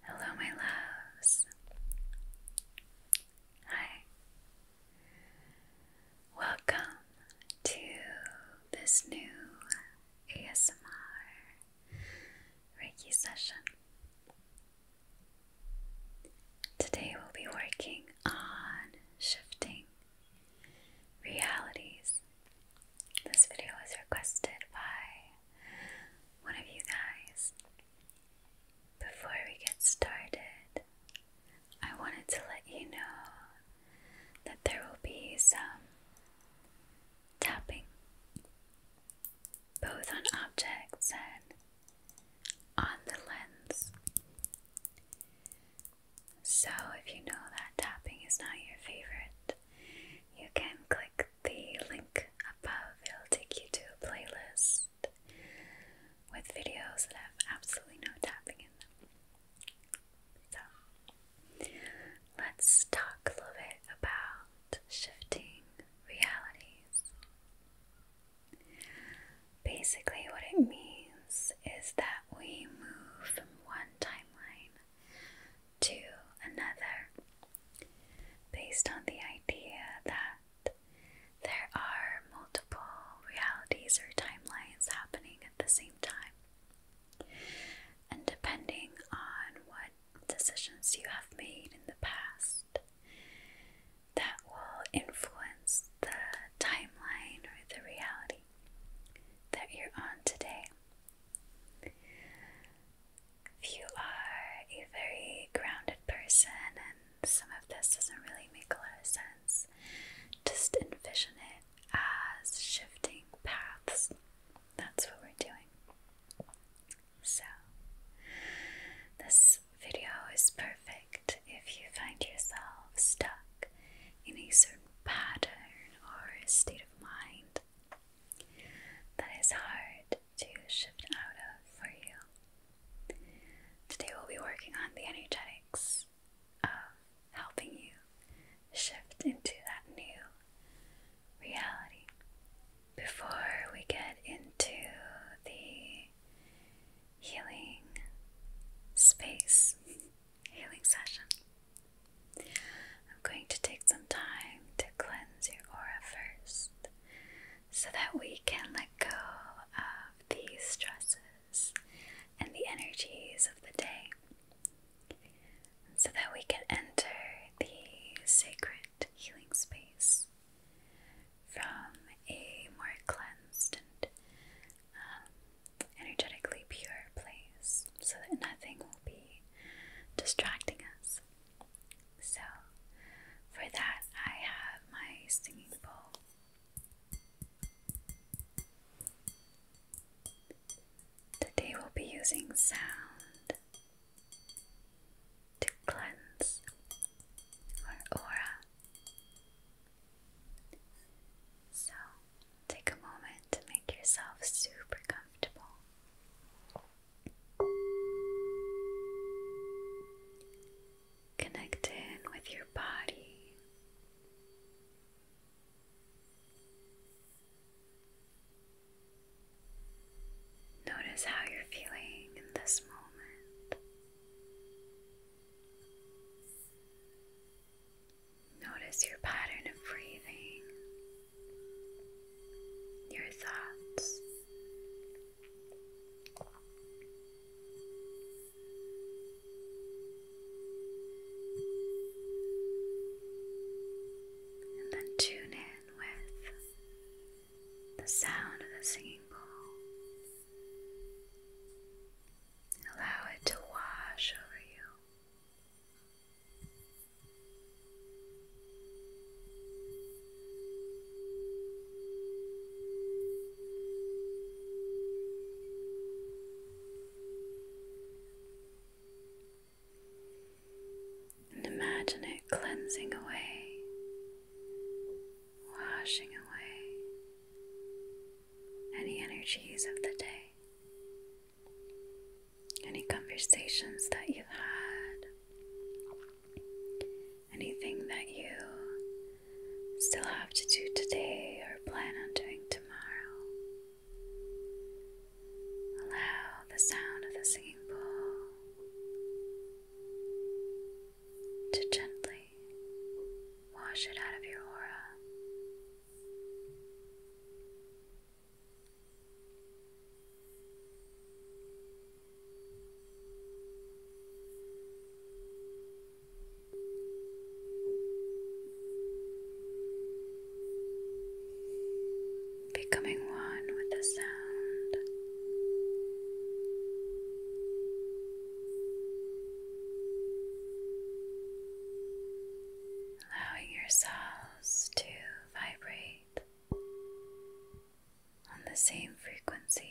Hello, my loves. Hi. Welcome to this new ASMR Reiki session. Today we'll be working on shifting realities. This video was requested by one of you guys. Before we get started, I wanted to let you know that there will be some tapping both on objects and on the lens. So, if you know that tapping is not your favorite, you can click the link above, it'll take you to a playlist with videos that have absolutely no tapping in them. So, let's talk a little bit about shifting realities. Basically, what it means is that we move from one timeline to another based on the idea that there are multiple realities or timelines happening at the same time. And depending on what decisions you have made in the past, that will influence the timeline or the reality that you're on today if you are a very grounded person and some of this doesn't really make a lot of sense, just envision it as shifting paths. That's what we're doing. So, this video is perfect if you find yourself stuck in a certain pattern or state of mind that is hard to shift out of for you. Today we'll be working on the energetics of helping you shift into that new reality. Before we get into the healing space, healing session, I'm going to take some time to cleanse your aura first so that we can let go of these stresses and the energies of the day so that we can enter the sacred healing space from a more cleansed and um, energetically pure place so that nothing will be distracting us. So, for that, I have my singing bowl. Today, we'll be using sound to cleanse our aura. So, take a moment to make yourself super comfortable. Connect in with your body. Notice how you're feeling in this moment. Notice your pattern of breathing, your thoughts. And then tune in with the sound of the singing bowl. Allow it to wash over you. And imagine it cleansing away, washing away any energies of the day any conversations that you've had, anything that you still have to do today or plan on doing tomorrow. Allow the sound of the singing bowl to gently wash it out of your aura. Becoming one with the sound allowing yourselves to vibrate on the same frequency.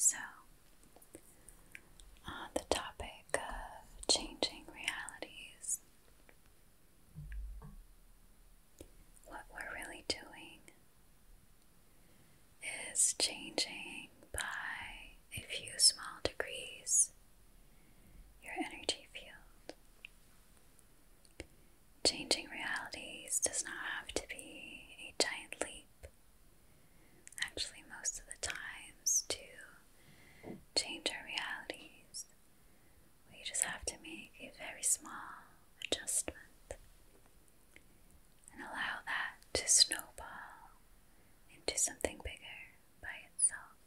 So, on the topic of changing realities, what we're really doing is changing by a few small degrees your energy field. Changing realities does not have to be a giant leap. Actually, most of the times, two change our realities. We just have to make a very small adjustment and allow that to snowball into something bigger by itself.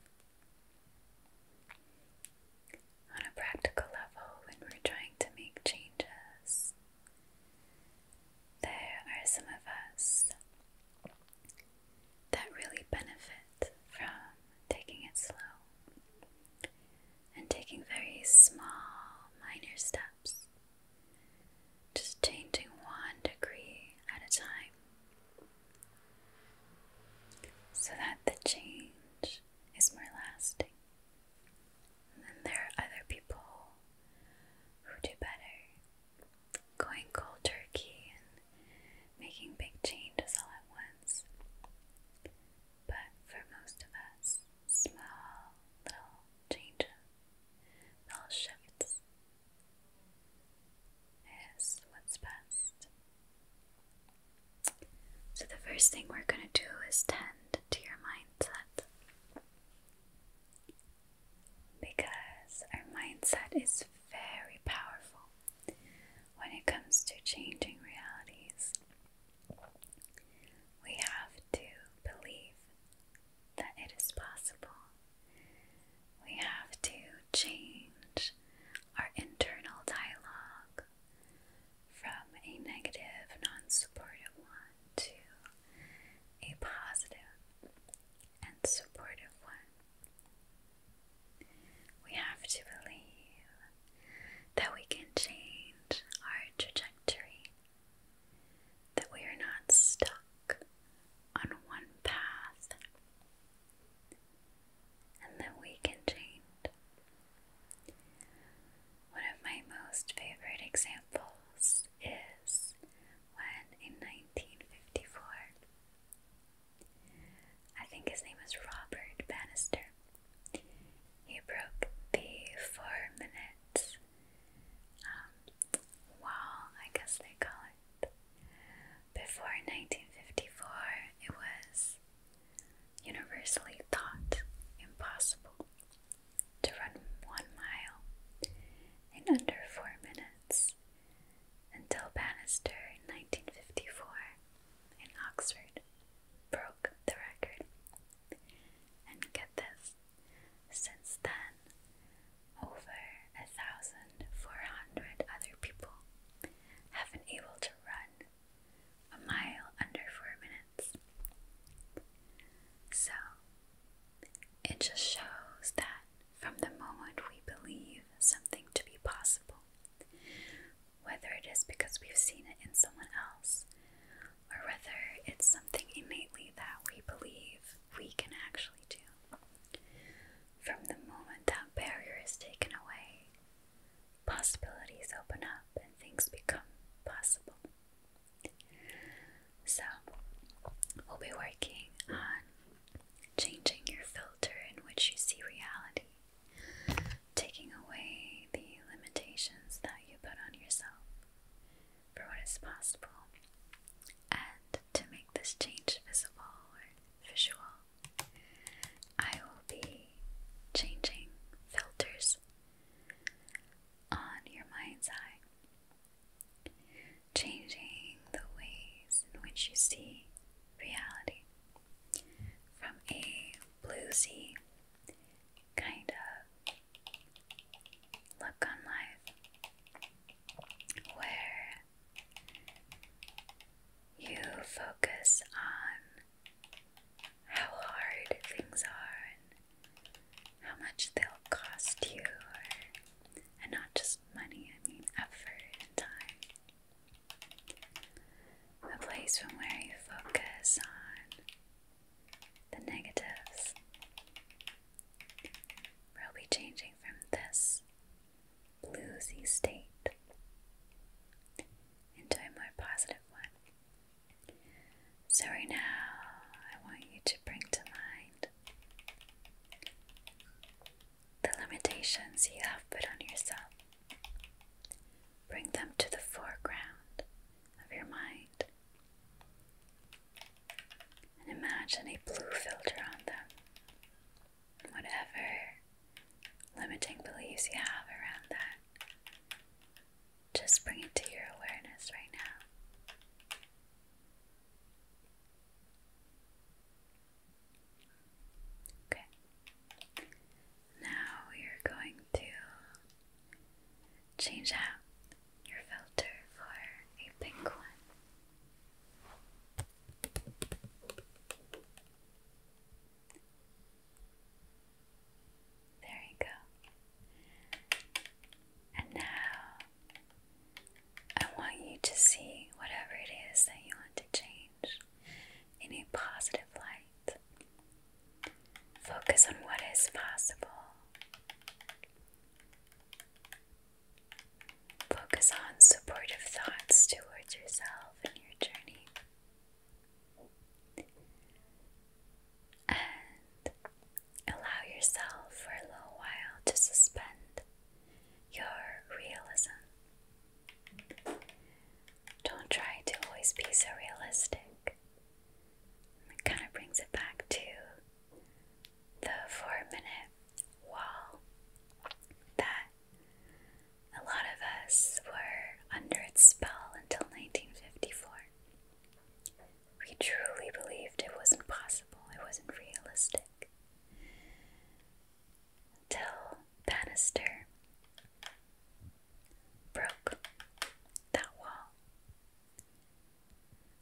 On a practical level, when we're trying to make changes, there are some of us that really benefit from taking it slow and taking very small, minor steps, just changing one degree at a time, so that the change is more lasting. And then there are other people who do better, going cold turkey making big changes all at once. But for most of us, small little changes, little shifts, is what's best. So, the first thing we're going to do is tend to your mindset because our mindset is very powerful when it comes to changing realities. We have to believe that it is possible. We have to change our internal dialogue from a negative, non supportive one to a positive and supportive one. We have to believe that we can change our trajectory, that we are not stuck on one path, and that we can change. One of my most favorite examples is when in 1954 I think his name was Robert Bannister. He broke the four minutes um, I guess they call it. Before 1954, it was universally thought impossible to run one mile in under four minutes until Bannister in 1954 in Oxford broke the record. And get this, since then, over a 1,400 other people have been able to run a mile under four minutes. So, it just shows that from the moment we believe something to be possible, whether it is because we've seen it in someone else, or whether it's something innately that we believe we can actually do. From the moment that barrier is taken away, possibilities open up and things become possible. So, we'll be working on changing your filter in which you see reality, taking away the limitations that you put on yourself for what is possible, and to make this change visible or visual, I will be changing filters on your mind's eye changing the ways in which you see reality from a bluesy kind of look on life where you focus on how hard things are how much they'll cost you, and not just money, I mean effort and time. A place from where you focus on the negatives. We'll be changing from this bluesy state into a more positive one. So, right now, I want you to bring to mind the limitations you have put on yourself. Bring them to the foreground of your mind and imagine a blue filter on them. Whatever limiting beliefs you have around that, just bring it to your awareness right now. Okay. Now we are going to change out your filter for a pink one. There you go. And now I want you to see whatever it is that you want to change in a positive light. Focus on what is possible. Focus on supportive thoughts towards yourself and your journey and allow yourself for a little while to suspend your realism. Don't try to always be so realistic. It kind of brings it back to the four minute wall that a lot of us were under its spell until 1954. We truly believed it wasn't possible, it wasn't realistic. Till Bannister broke that wall.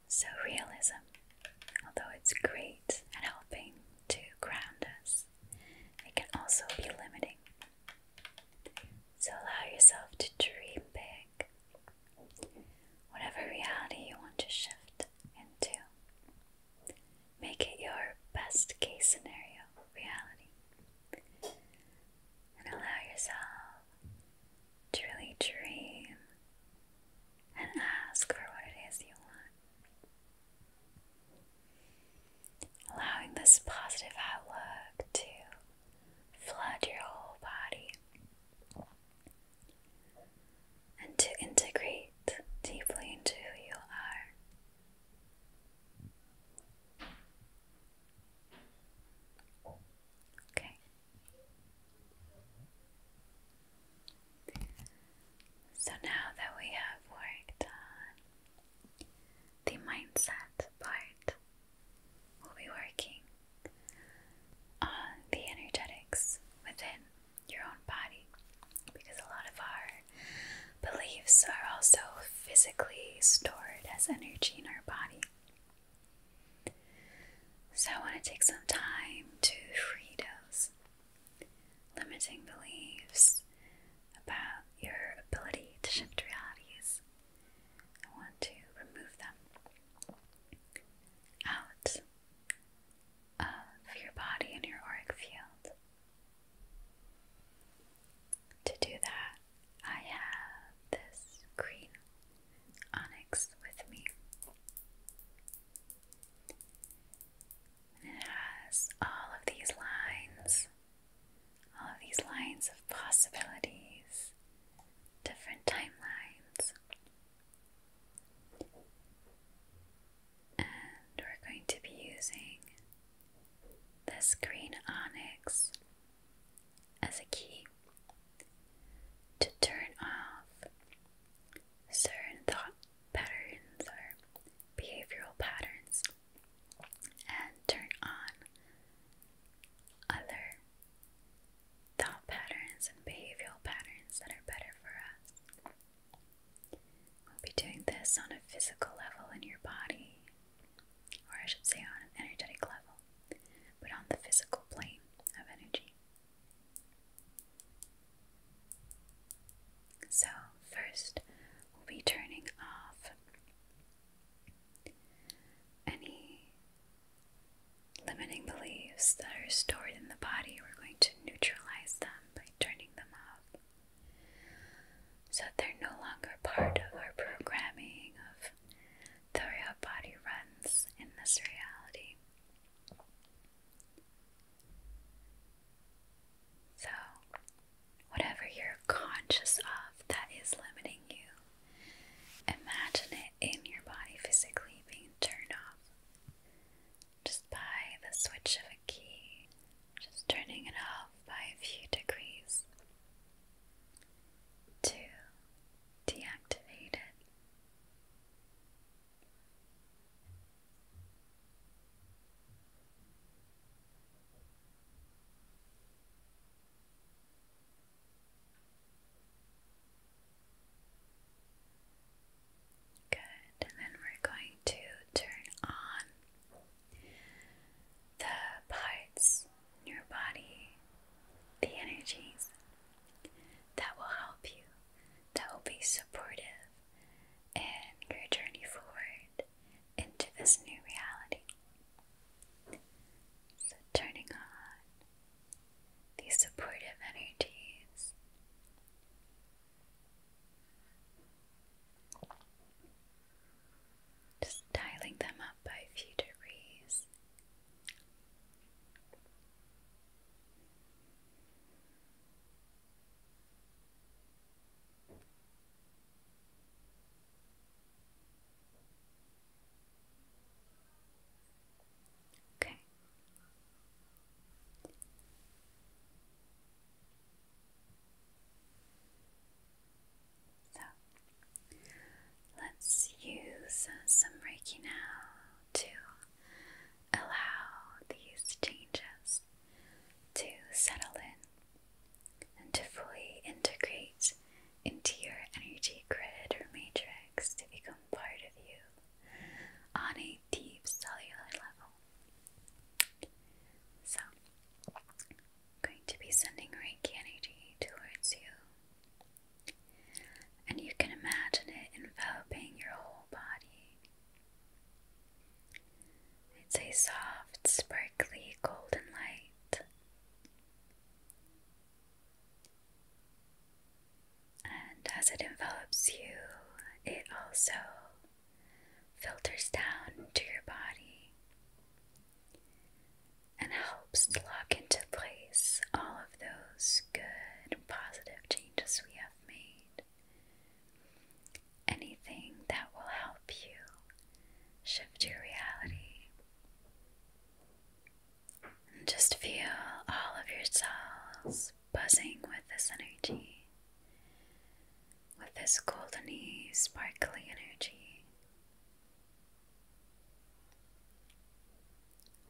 So, realism, although it's great and helping to ground us, it can also be limiting. So, allow yourself to dream big, Whatever reality you want to shift into, make it your best case scenario reality and allow yourself to really dream and ask for what it is you want. Allowing this positive outlook to flood your whole body, and to integrate deeply into who you are. Okay. So now that we have worked on the mindset part we will be working on the energetics within your own body because a lot of our beliefs are also physically stored as energy in our body. So, I want to take some time to free those limiting beliefs about your ability to shift realities I want to remove them out of your body and your auric field. To do that, I have this green onyx with me. And it has all of these lines all these lines of possibilities, different timelines. And we're going to be using this green onyx as a key to turn off certain thought patterns or behavioral patterns and turn on other thought patterns and behavioral patterns that are better for us. We'll be doing this on a physical level in your body, or I should say on an energetic level, but on the physical plane of energy. So, first, we'll be turning off any limiting beliefs that are stored in the body, we're going to neutralize them by turning them off. So that they're no longer part of our programming of the way our body runs in this reality. So, whatever you're conscious of that is limiting you. Imagine it in your body physically being turned off just by the switch of a key, just turning it off by a few degrees to deactivate it. Good, and then we're going to turn on the parts in your body, the energies that will help you, that will be supportive in your journey forward into this new reality. So, turning on these supportive energies. Just dialing them up by a few degrees. Okay. So let's use some Reiki now to allow these changes to settle in and to fully integrate into your energy grid or matrix to become part of you on a deep cellular level. So, I'm going to be sending Reiki energy towards you, and you can imagine it enveloping your whole body. It's a soft, sparkly golden light. And as it envelops you, it also filters down to your body and helps lock into place all of those good positive changes we have made anything that will help you shift your reality. And just feel all of your cells buzzing with this energy, with this goldeny, sparkling energy.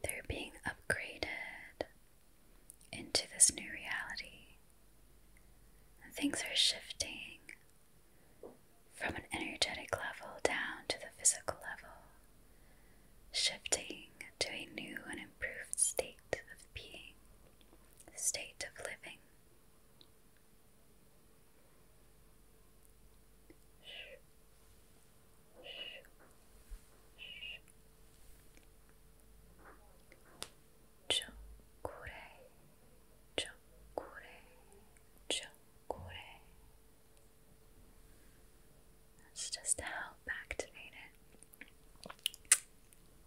They're being upgraded into this new reality things are shifting from an energetic level down to the physical level, shifting to a new and improved state of being, state of living chokure, chokure, chokure. That's just to help activate it.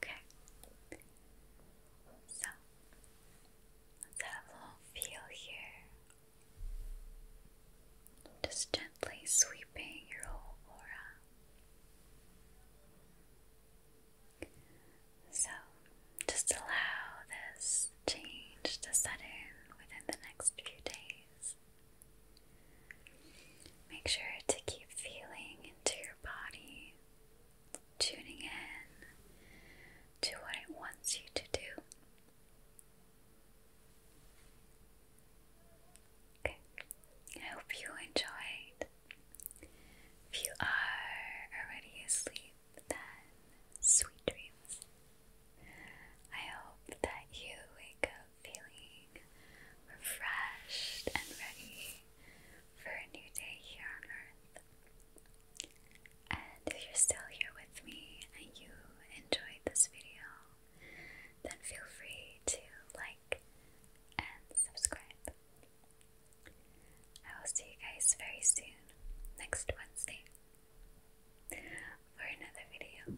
Okay. So let's have a little feel here. Just gently sweeping your aura. So just allow this change to set in within the next few days. Make sure to keep feeling into your body, tuning in to what it wants you to do. Okay, I hope you enjoyed if you are already asleep, then sweet dreams. I hope that you wake up feeling refreshed and ready for a new day here on earth. And if you're still here with me and you enjoyed this video, then feel free to like and subscribe. I will see you guys very soon, next Wednesday, for another video.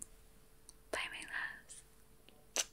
Bye, my loves.